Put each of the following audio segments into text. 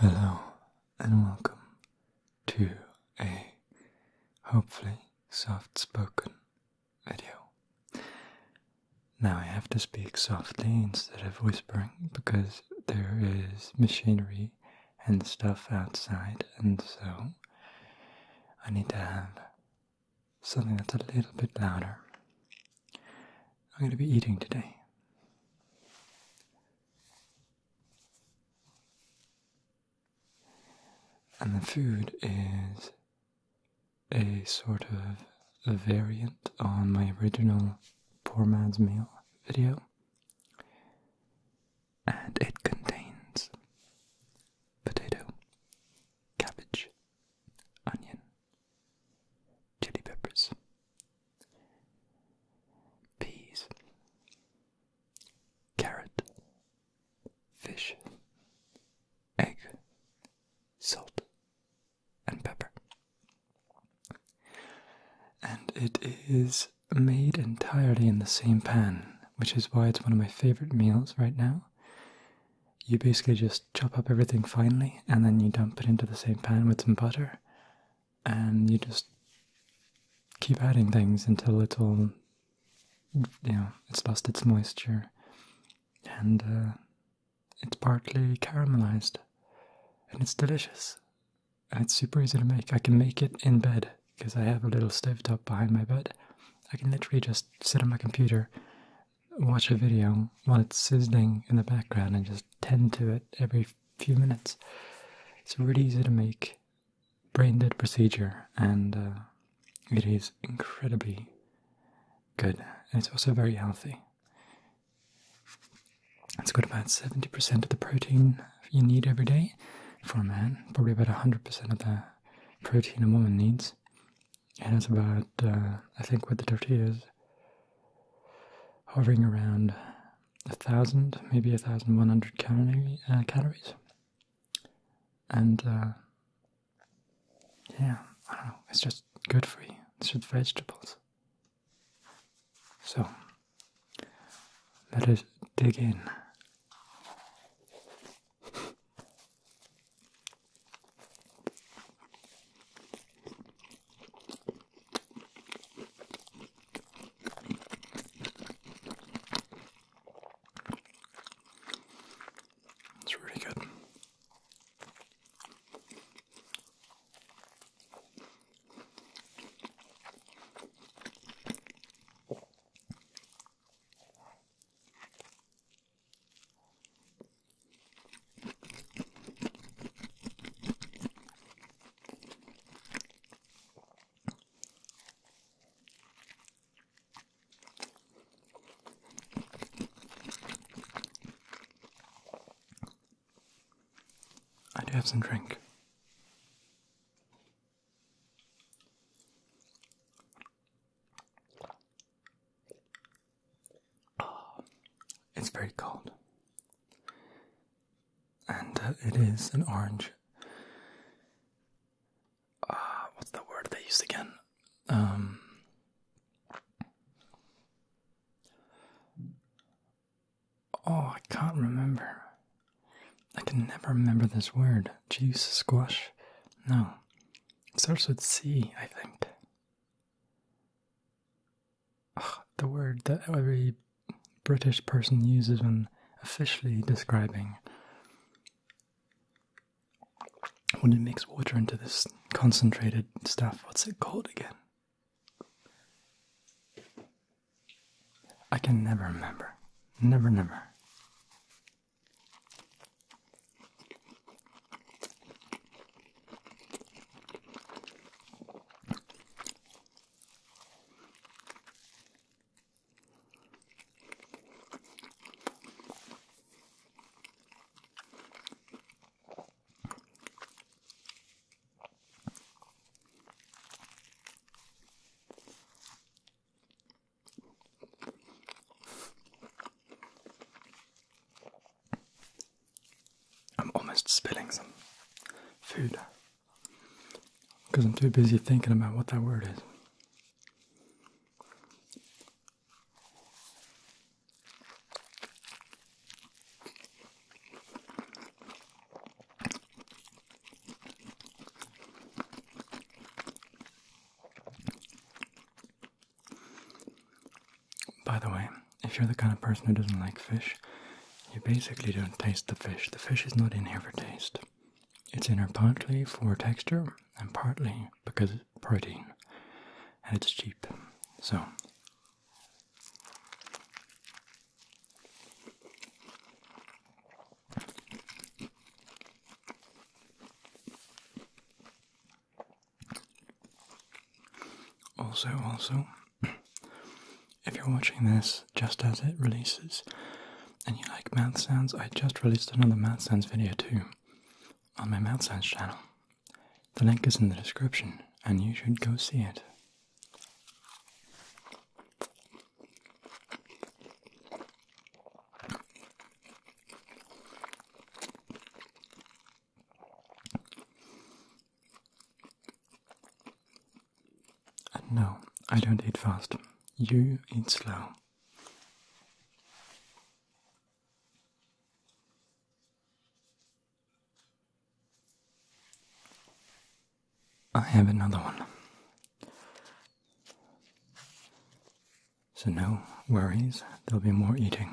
Hello and welcome to a hopefully soft spoken video. Now I have to speak softly instead of whispering because there is machinery and stuff outside, and so I need to have something that's a little bit louder. I'm going to be eating today. And the food is a sort of variant on my original Poor Man's Meal video and it contains potato, cabbage, onion, chili peppers, peas, carrot, fish, egg, salt, and pepper. And it is made entirely in the same pan, which is why it's one of my favorite meals right now. You basically just chop up everything finely and then you dump it into the same pan with some butter and you just keep adding things until it's all, you know, it's lost its moisture and uh, it's partly caramelized and it's delicious it's super easy to make. I can make it in bed because I have a little stovetop behind my bed. I can literally just sit on my computer, watch a video while it's sizzling in the background, and just tend to it every few minutes. It's really easy to make brain dead procedure, and uh, it is incredibly good. And it's also very healthy. It's got about 70% of the protein you need every day for a man, probably about 100% of the protein a woman needs. And it's about, uh, I think what the tortilla is, hovering around a thousand, maybe a thousand one hundred uh, calories. And uh, yeah, I don't know, it's just good for you. It's just vegetables. So let us dig in. It's really good. I do have some drink. Oh, it's very cold. And uh, it is an orange. Uh, what's the word they used again? Um, Oh, I can't remember. I can never remember this word. Juice, squash? No. It starts with C, I think. the word that every British person uses when officially describing when it makes water into this concentrated stuff. What's it called again? I can never remember. Never, never. I'm almost spilling some food because I'm too busy thinking about what that word is. By the way, if you're the kind of person who doesn't like fish, you basically don't taste the fish. The fish is not in here for taste. It's in here partly for texture and partly because it's protein and it's cheap. So also, also, if you're watching this just as it releases and you like mouth sounds, I just released another mouth sounds video too on my mouth sounds channel. The link is in the description and you should go see it no, I don't eat fast. You eat slow. I have another one. So, no worries, there'll be more eating.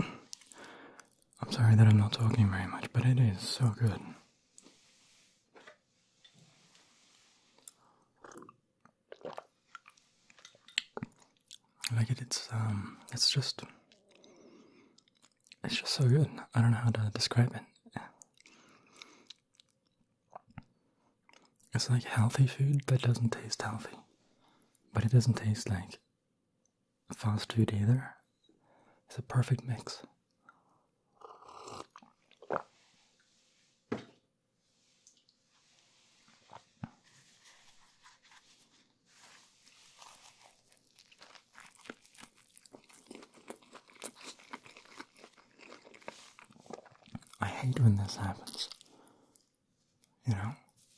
I'm sorry that I'm not talking very much, but it is so good. I like it. It's um, it's just, it's just so good. I don't know how to describe it. It's like healthy food that doesn't taste healthy, but it doesn't taste like fast food either. It's a perfect mix. I hate when this happens. You know,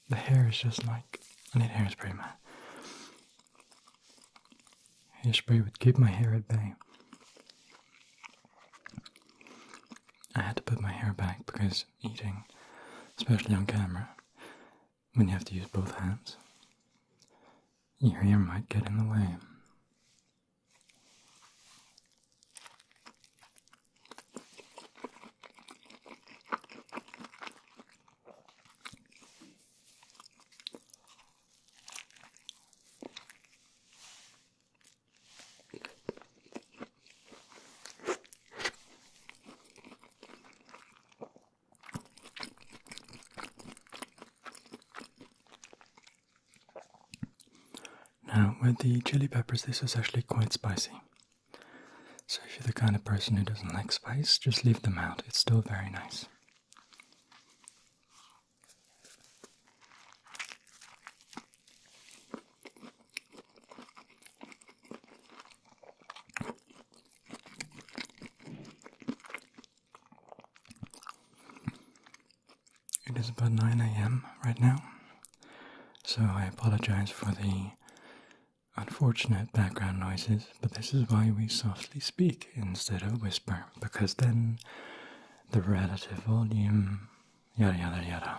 the hair is just like I need hairspray, man. Hairspray would keep my hair at bay. I had to put my hair back because eating, especially on camera, when you have to use both hands, your hair might get in the way. Now, with the chili peppers, this was actually quite spicy. So if you're the kind of person who doesn't like spice, just leave them out. It's still very nice. It is about 9 a.m. right now, so I apologize for the Unfortunate background noises, but this is why we softly speak instead of whisper, because then the relative volume, yada yada yada.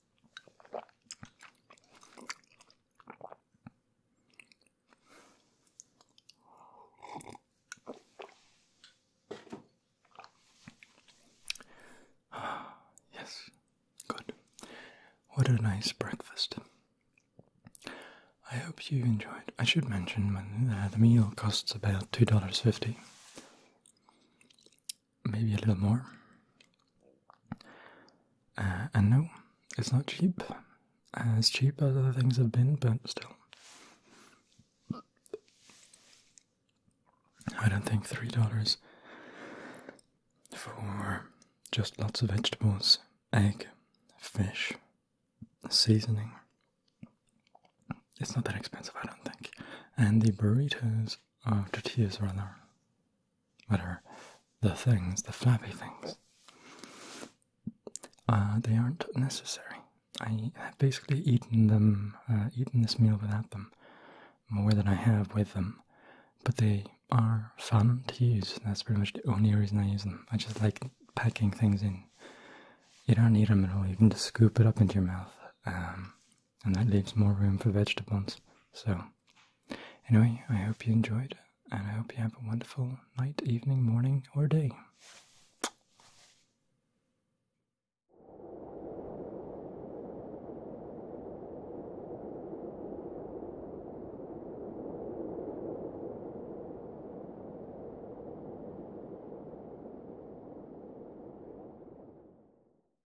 yes, good. What a nice breakfast. I hope you enjoyed. I should mention that uh, the meal costs about $2.50 maybe a little more. Uh, and no, it's not cheap. As uh, cheap as other things have been, but still. I don't think three dollars for just lots of vegetables, egg, fish, seasoning. It's not that expensive, I don't think. And the burritos, are tortillas rather, what are the things, the flappy things? Uh, they aren't necessary. I have basically eaten them, uh, eaten this meal without them more than I have with them, but they are fun to use. That's pretty much the only reason I use them. I just like packing things in. You don't need them at all. You can just scoop it up into your mouth. Um, and that leaves more room for vegetables. So, anyway, I hope you enjoyed, and I hope you have a wonderful night, evening, morning, or day.